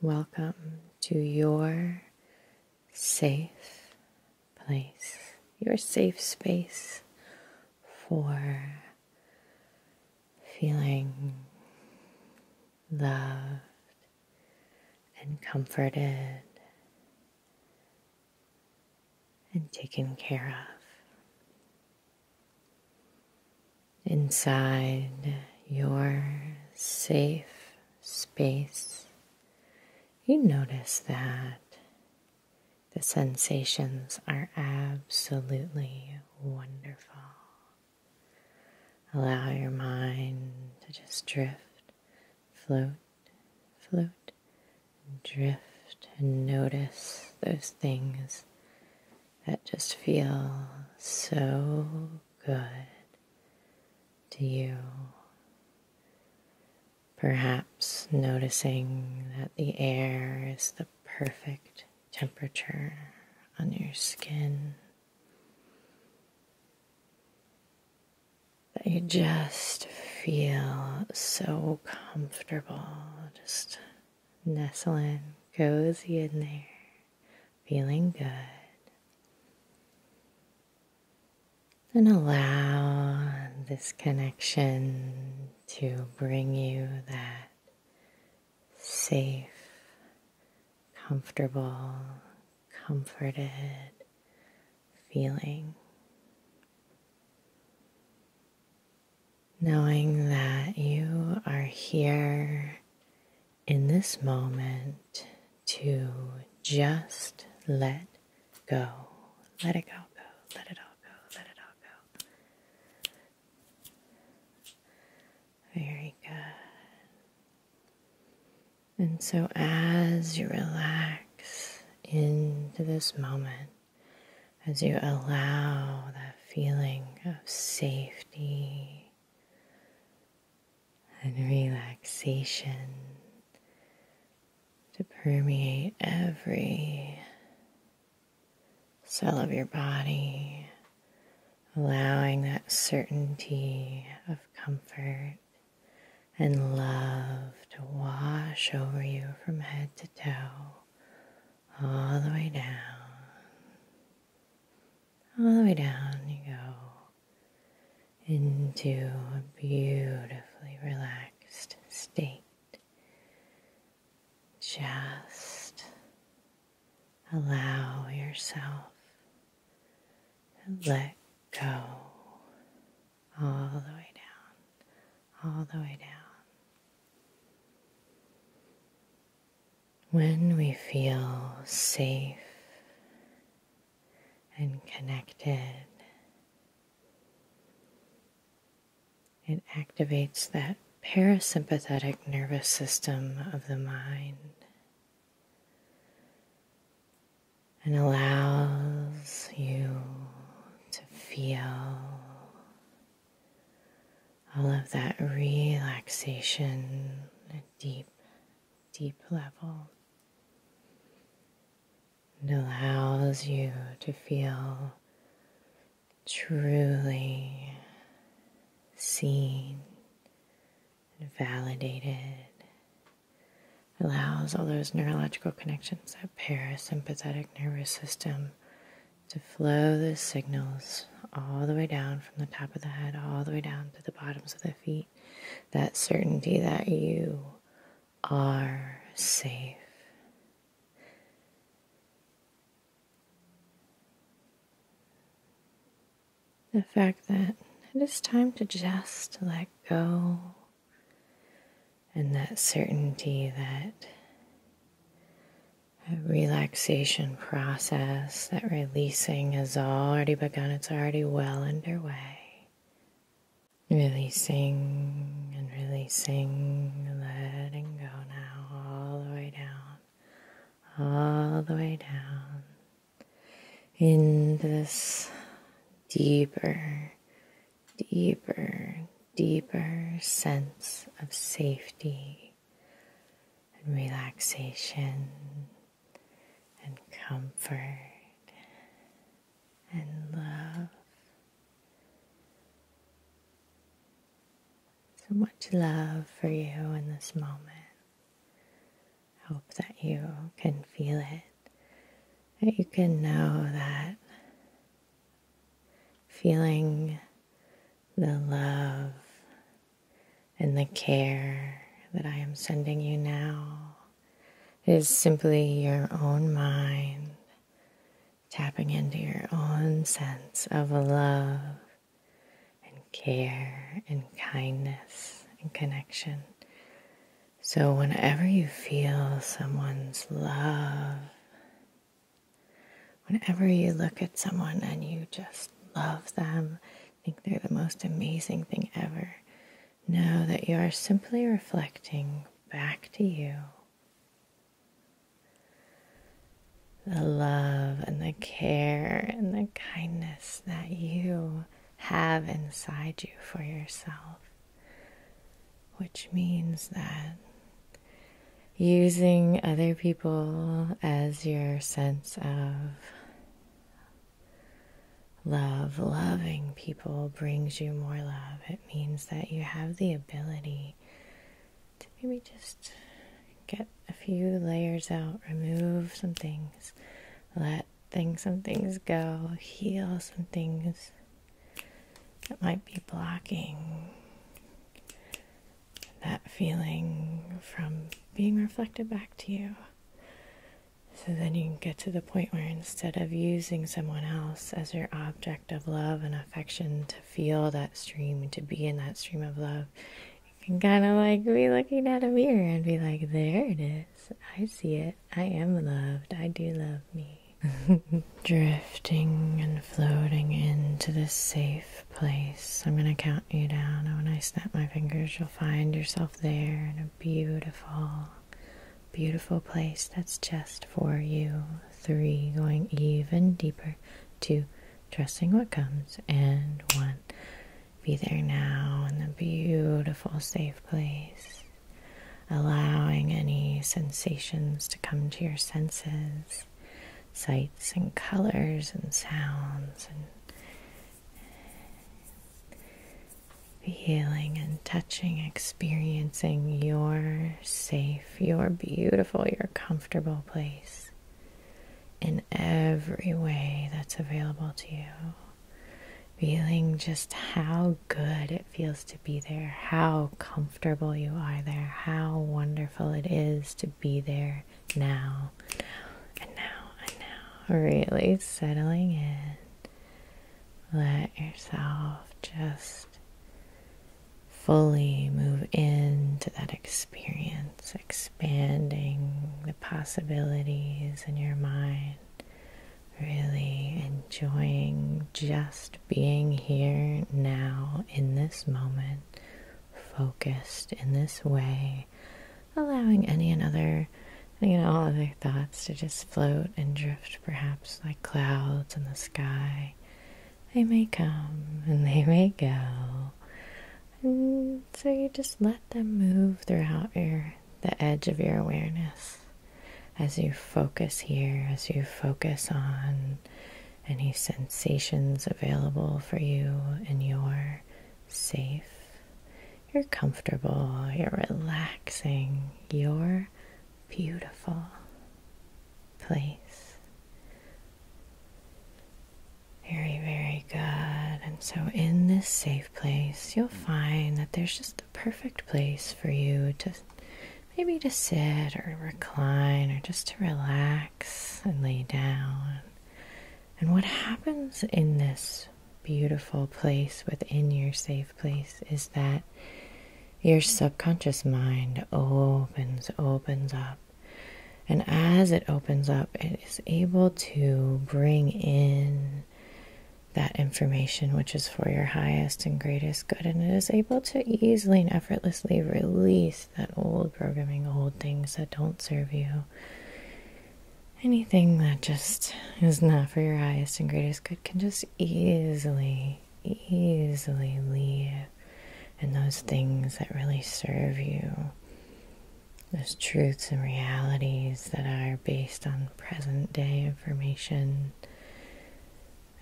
Welcome to your safe place, your safe space for feeling loved and comforted and taken care of inside your safe space, you notice that the sensations are absolutely wonderful. Allow your mind to just drift, float, float, drift, and notice those things that just feels so good to you. Perhaps noticing that the air is the perfect temperature on your skin. That you just feel so comfortable, just nestling cozy in there, feeling good. Then allow this connection to bring you that safe, comfortable, comforted feeling. Knowing that you are here in this moment to just let go. Let it all go. Let it all go. Let it all go. Very good. And so as you relax into this moment, as you allow that feeling of safety and relaxation to permeate every cell of your body, allowing that certainty of comfort and love to wash over you from head to toe, all the way down. All the way down you go into a beautifully relaxed state. Just allow yourself and let go all the way down, all the way down. When we feel safe and connected, it activates that parasympathetic nervous system of the mind and allows you to feel all of that relaxation at deep, deep level. It allows you to feel truly seen and validated. allows all those neurological connections, that parasympathetic nervous system to flow the signals all the way down from the top of the head, all the way down to the bottoms of the feet. That certainty that you are safe. The fact that it is time to just let go, and that certainty that a relaxation process, that releasing has already begun. It's already well underway. Releasing and releasing, letting go now, all the way down, all the way down in this deeper, deeper, deeper sense of safety and relaxation and comfort and love. So much love for you in this moment. Hope that you can feel it, that you can know that feeling the love and the care that I am sending you now is simply your own mind tapping into your own sense of love and care and kindness and connection. So, whenever you feel someone's love Whenever you look at someone and you just love them, think they're the most amazing thing ever, know that you are simply reflecting back to you the love and the care and the kindness that you have inside you for yourself, which means that using other people as your sense of love, loving people brings you more love. It means that you have the ability to maybe just get a few layers out, remove some things, let things, some things go, heal some things that might be blocking that feeling from being reflected back to you. So then you can get to the point where instead of using someone else as your object of love and affection to feel that stream, and to be in that stream of love, you can kind of like be looking at a mirror and be like, there it is. I see it. I am loved. I do love me. Drifting and floating into the safe place. I'm going to count you down. And oh, when I snap my fingers, you'll find yourself there in a beautiful, beautiful place that's just for you. Three, going even deeper. Two, trusting what comes. And one, be there now in the beautiful, safe place. Allowing any sensations to come to your senses sights and colors and sounds and feeling and touching, experiencing your safe, your beautiful, your comfortable place in every way that's available to you. Feeling just how good it feels to be there, how comfortable you are there, how wonderful it is to be there now, now, and now, and now. Really settling in. Let yourself just fully move into that experience, expanding the possibilities in your mind. Really enjoying just being here now in this moment focused in this way, allowing any and other, you know, other thoughts to just float and drift, perhaps like clouds in the sky. They may come and they may go. And so you just let them move throughout your the edge of your awareness as you focus here, as you focus on any sensations available for you, and you're safe. You're comfortable, you're relaxing, you're beautiful place. Very, very good. And so, in this safe place, you'll find that there's just the perfect place for you to maybe to sit or recline or just to relax and lay down. And what happens in this beautiful place within your safe place is that your subconscious mind opens, opens up. And as it opens up, it is able to bring in that information which is for your highest and greatest good. And it is able to easily and effortlessly release that old programming, old things that don't serve you, anything that just is not for your highest and greatest good can just easily, easily leave. And those things that really serve you, those truths and realities that are based on present day information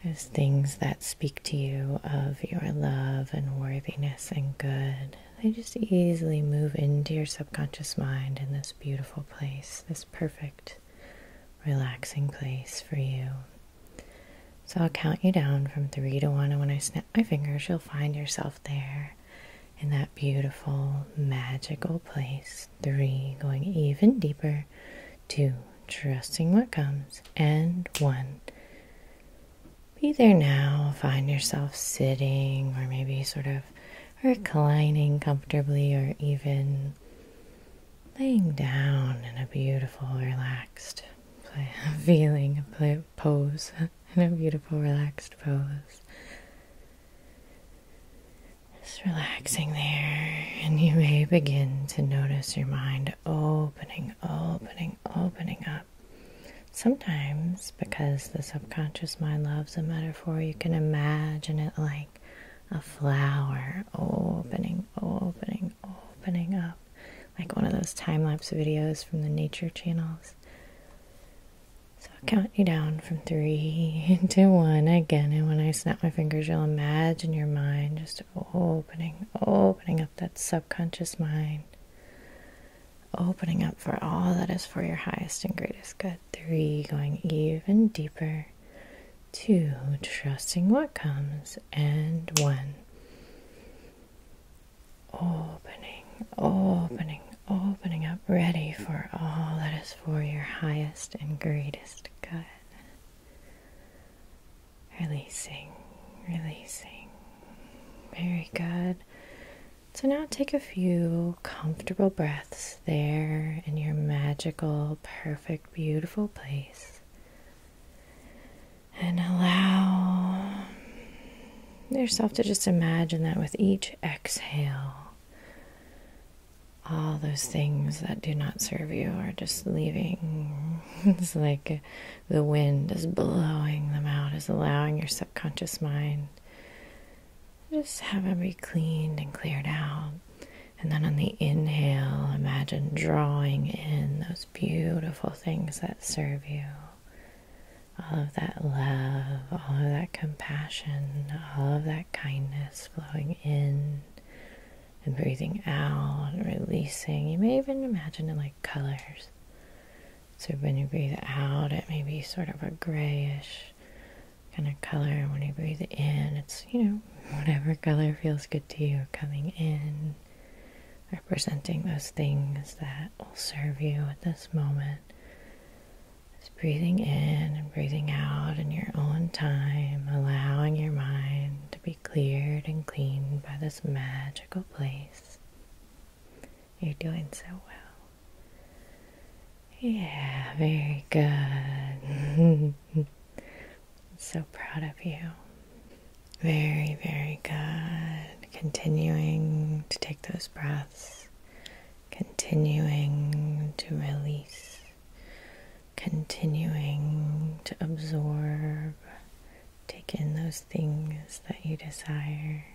there's things that speak to you of your love and worthiness and good. They just easily move into your subconscious mind in this beautiful place, this perfect, relaxing place for you. So I'll count you down from three to one, and when I snap my fingers, you'll find yourself there in that beautiful, magical place. Three, going even deeper two, trusting what comes, and one. Be there now, find yourself sitting or maybe sort of reclining comfortably or even laying down in a beautiful, relaxed feeling, a pose, in a beautiful, relaxed pose. Just relaxing there, and you may begin to notice your mind opening opening, opening, up. Sometimes, because the subconscious mind loves a metaphor, you can imagine it like a flower opening, opening, opening up, like one of those time lapse videos from the nature channels. So I'll count you down from three to one again, and when I snap my fingers, you'll imagine your mind just opening, opening up that subconscious mind, opening up for all that is for your highest and greatest good. Three, going even deeper. Two, trusting what comes. And one, opening, opening, opening up, ready for all that is for your highest and greatest good. Releasing, releasing. Very good. So now take a few comfortable breaths there in your magical, perfect, beautiful place. And allow yourself to just imagine that with each exhale, all those things that do not serve you are just leaving. it's like the wind is blowing them out, is allowing your subconscious mind just have them be cleaned and cleared out. And then on the inhale, imagine drawing in those beautiful things that serve you. All of that love, all of that compassion, all of that kindness flowing in and breathing out and releasing. You may even imagine it like colors. So when you breathe out, it may be sort of a grayish kind of color. when you breathe in, it's, you know, whatever color feels good to you coming in, representing those things that will serve you at this moment. Just breathing in and breathing out in your own time, allowing your mind to be cleared and cleaned by this magical place. You're doing so well. Yeah, very good. so proud of you. Very, very good. Continuing to take those breaths, continuing to release, continuing to absorb, take in those things that you desire.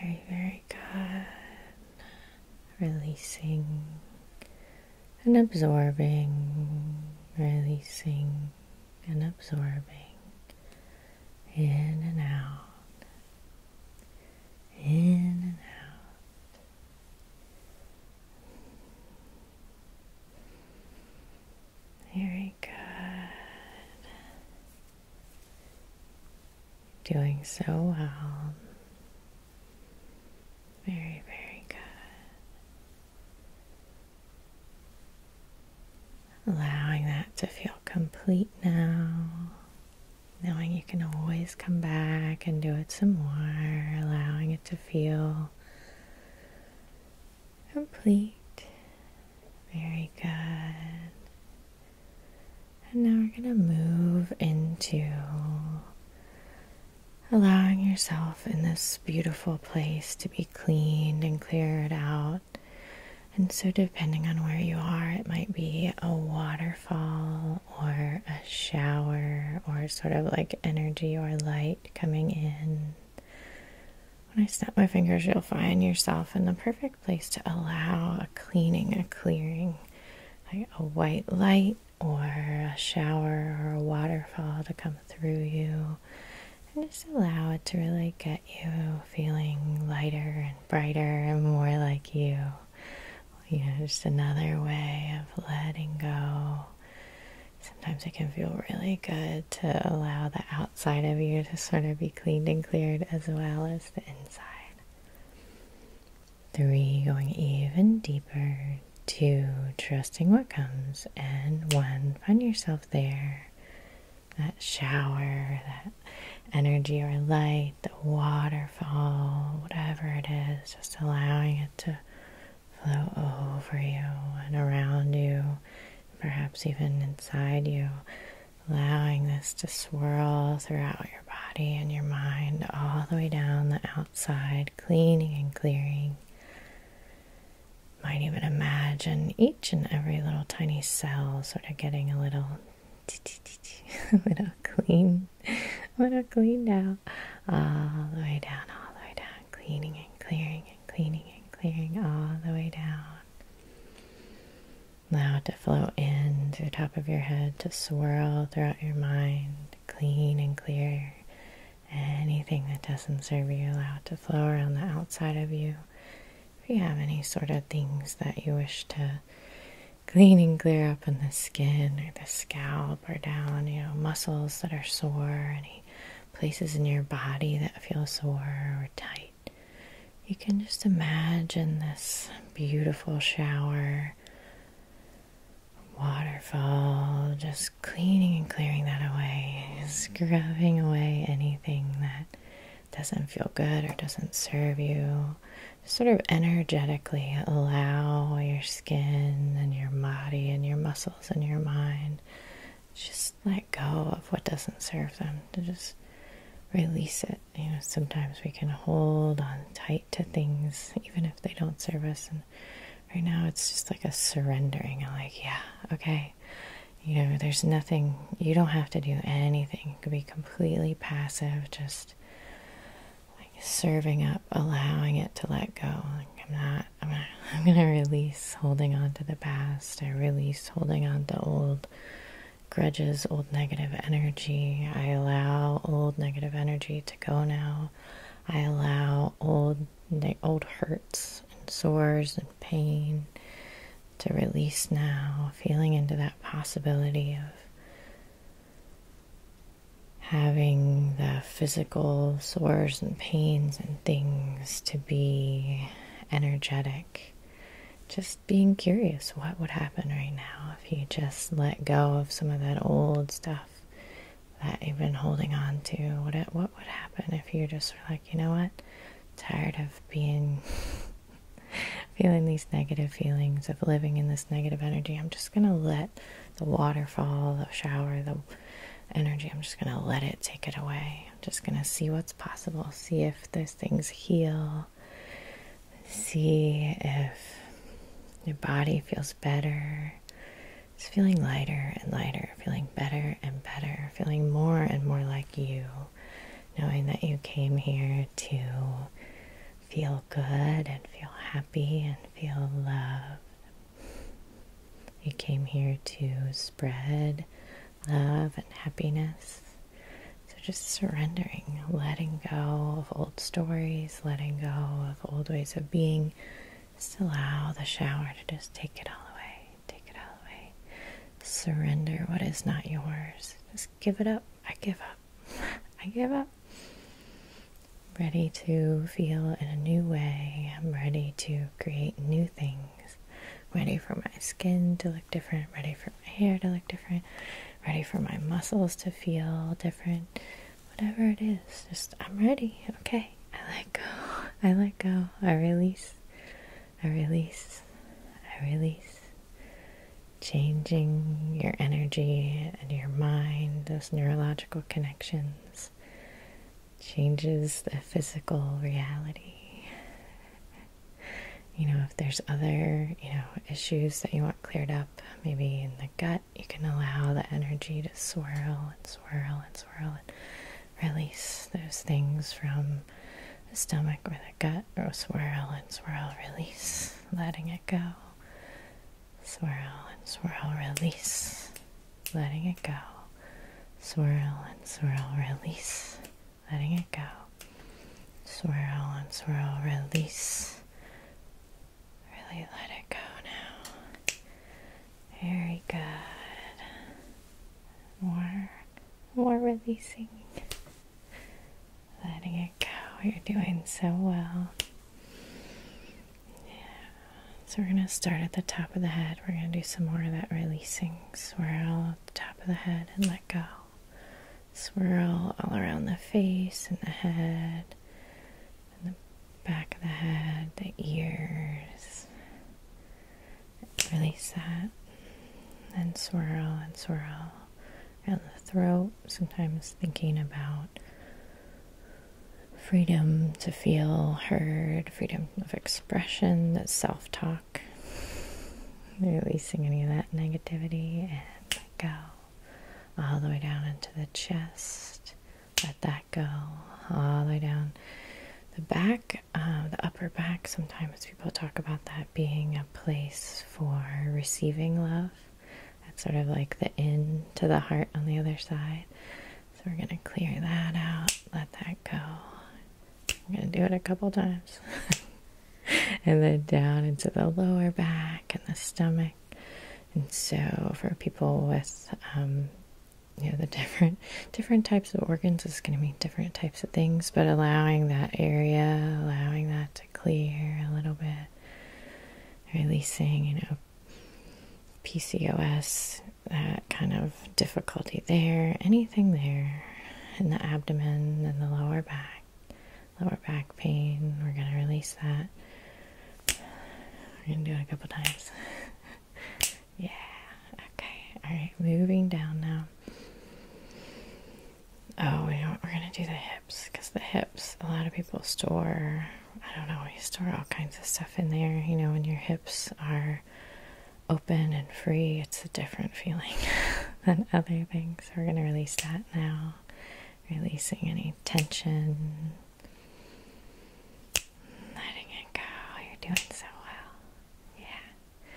Very, very good. Releasing and absorbing, releasing and absorbing in and out, in and out. Very good. Doing so well. Very, very good. Allowing that to feel complete now. Knowing you can always come back and do it some more. Allowing it to feel complete. Very good. And now we're going to move into allowing yourself in this beautiful place to be cleaned and cleared out. And so, depending on where you are, it might be a waterfall or a shower or sort of like energy or light coming in. When I snap my fingers, you'll find yourself in the perfect place to allow a cleaning, a clearing, like a white light or a shower or a waterfall to come through you. And just allow it to really get you feeling lighter and brighter and more like you. You know, just another way of letting go sometimes it can feel really good to allow the outside of you to sort of be cleaned and cleared as well as the inside. Three, going even deeper. Two, trusting what comes. And one, find yourself there. That shower, that energy or light, the waterfall, whatever it is, just allowing it to flow over you and around you, perhaps even inside you, allowing this to swirl throughout your body and your mind all the way down the outside, cleaning and clearing. Might even imagine each and every little tiny cell sort of getting a little, a little clean I'm gonna clean now. All the way down, all the way down. Cleaning and clearing and cleaning and clearing all the way down. Allow it to flow in through the top of your head, to swirl throughout your mind, clean and clear. Anything that doesn't serve you, allow it to flow around the outside of you. If you have any sort of things that you wish to clean and clear up in the skin or the scalp up or down, you know, muscles that are sore, any places in your body that feel sore or tight. You can just imagine this beautiful shower, waterfall, just cleaning and clearing that away, scrubbing away anything that doesn't feel good or doesn't serve you. sort of energetically allow yourself skin and your body and your muscles and your mind. Just let go of what doesn't serve them. To just release it. You know, sometimes we can hold on tight to things even if they don't serve us. And right now, it's just like a surrendering. like, yeah, okay. You know, there's nothing. You don't have to do anything. You could be completely passive. Just like serving up, allowing it to let go. I'm not, I'm not, I'm gonna release holding on to the past. I release holding on to old grudges, old negative energy. I allow old negative energy to go now. I allow old old hurts and sores and pain to release now, feeling into that possibility of having the physical sores and pains and things to be energetic. Just being curious what would happen right now if you just let go of some of that old stuff that even holding on to. What what would happen if you just were like, you know what? Tired of being feeling these negative feelings of living in this negative energy. I'm just going to let the waterfall, the shower, the energy. I'm just going to let it take it away. I'm just going to see what's possible, see if those things heal, see if your body feels better. It's feeling lighter and lighter, feeling better and better, feeling more and more like you, knowing that you came here to feel good and feel happy and feel loved. You came here to spread love and happiness. So just surrendering, letting go of old stories, letting go of old ways of being. Just allow the shower to just take it all away. Take it all away. Surrender what is not yours. Just give it up. I give up. I give up. ready to feel in a new way. I'm ready to create new things. ready for my skin to look different. ready for my hair to look different. ready for my muscles to feel different. Whatever it is, just I'm ready. Okay. I let go. I let go. I release. I release. I release. Changing your energy and your mind, those neurological connections, changes the physical reality. You know, if there's other, you know, issues that you want cleared up, maybe in the gut, you can allow the energy to swirl and swirl and swirl and release those things from the stomach or the gut or swirl and swirl, release, letting it go swirl and swirl, release, letting it go, swirl and swirl, release, letting it go, swirl and swirl, release. Really let it go now. Very good. More, more releasing, letting it you go. You're doing so well. So we're gonna start at the top of the head. We're gonna do some more of that releasing swirl at the top of the head and let go. Swirl all around the face and the head and the back of the head, the ears. Release that. Then swirl and swirl and the throat, sometimes thinking about freedom to feel heard, freedom of expression, that self talk, releasing any of that negativity, and go all the way down into the chest. Let that go all the way down the back, uh, the upper back. Sometimes people talk about that being a place for receiving love. That's sort of like the in to the heart on the other side. So we're going to clear that out, let that go. I'm going to do it a couple times. and then down into the lower back and the stomach. And so for people with um, you know the different different types of organs is going to mean different types of things but allowing that area allowing that clear a little bit, releasing, you know, PCOS, that kind of difficulty there, anything there in the abdomen and the lower back, lower back pain, we're going to release that. We're going to do it a couple times. yeah. Okay. All right. Moving down now. Oh, We're gonna do the hips because the hips, a lot of people store, I don't know, you store all kinds of stuff in there. You know, when your hips are open and free, it's a different feeling than other things. We're gonna release that now, releasing any tension, letting it go. You're doing so well, yeah.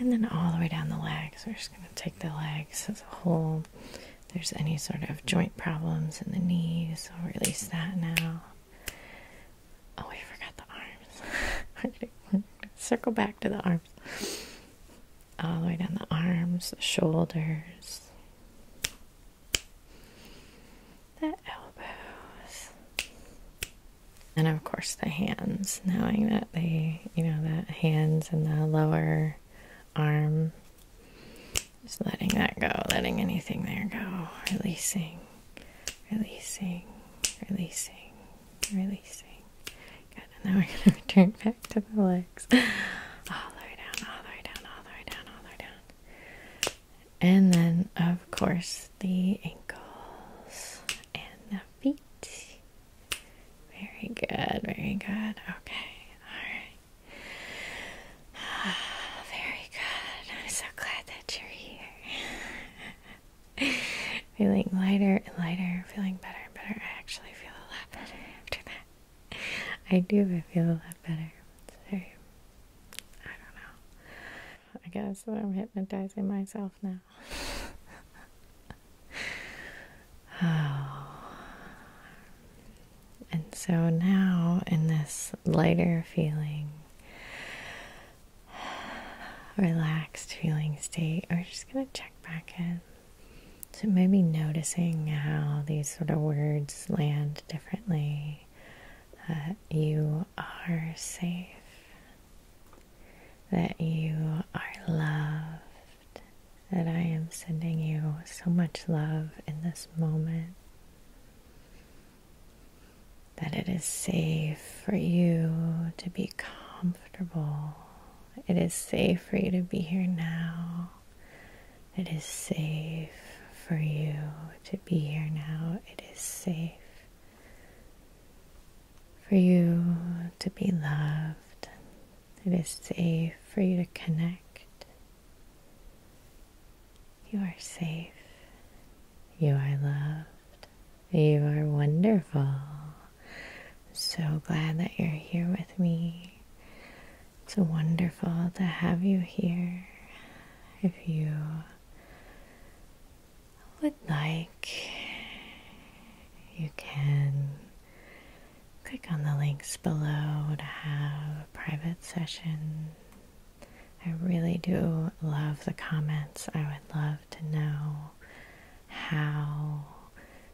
And then all the way down the legs, we're just gonna take the legs as a whole there's any sort of joint problems in the knees, I'll release that now. Oh, I forgot the arms. circle back to the arms. All the way down the arms, the shoulders, the elbows, and of course the hands. Knowing that they, you know, the hands and the lower arm just letting that go, letting anything there go, releasing, releasing, releasing, releasing. Good, and now we're gonna return back to the legs. All the way down, all the way down, all the way down, all the way down. And then of course the ankles and the feet. Very good, very good. Okay, alright. Oh, very good. I'm so glad that you're here. feeling lighter and lighter, feeling better and better. I actually feel a lot better after that. I do, I feel a lot better. It's I don't know. I guess I'm hypnotizing myself now. Oh. And so now, in this lighter feeling, relaxed feeling state, we're just going to check back in. So, maybe noticing how these sort of words land differently. That you are safe, that you are loved that I am sending you so much love in this moment. That it is safe for you to be comfortable. It is safe for you to be here now. It is safe for you to be here now. It is safe for you to be loved it is safe for you to connect. You are safe. You are loved. You are wonderful. So glad that you're here with me. It's wonderful to have you here. If you would like, you can Click on the links below to have a private session. I really do love the comments. I would love to know how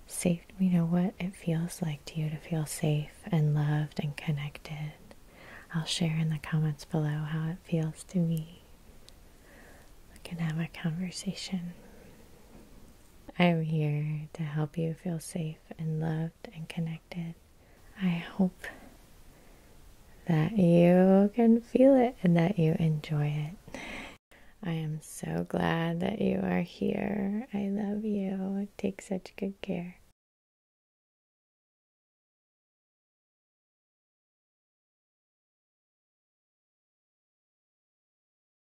safe, you know, what it feels like to you to feel safe and loved and connected. I'll share in the comments below how it feels to me. We can have a conversation. I am here to help you feel safe and loved and connected. I hope that you can feel it and that you enjoy it. I am so glad that you are here. I love you. Take such good care.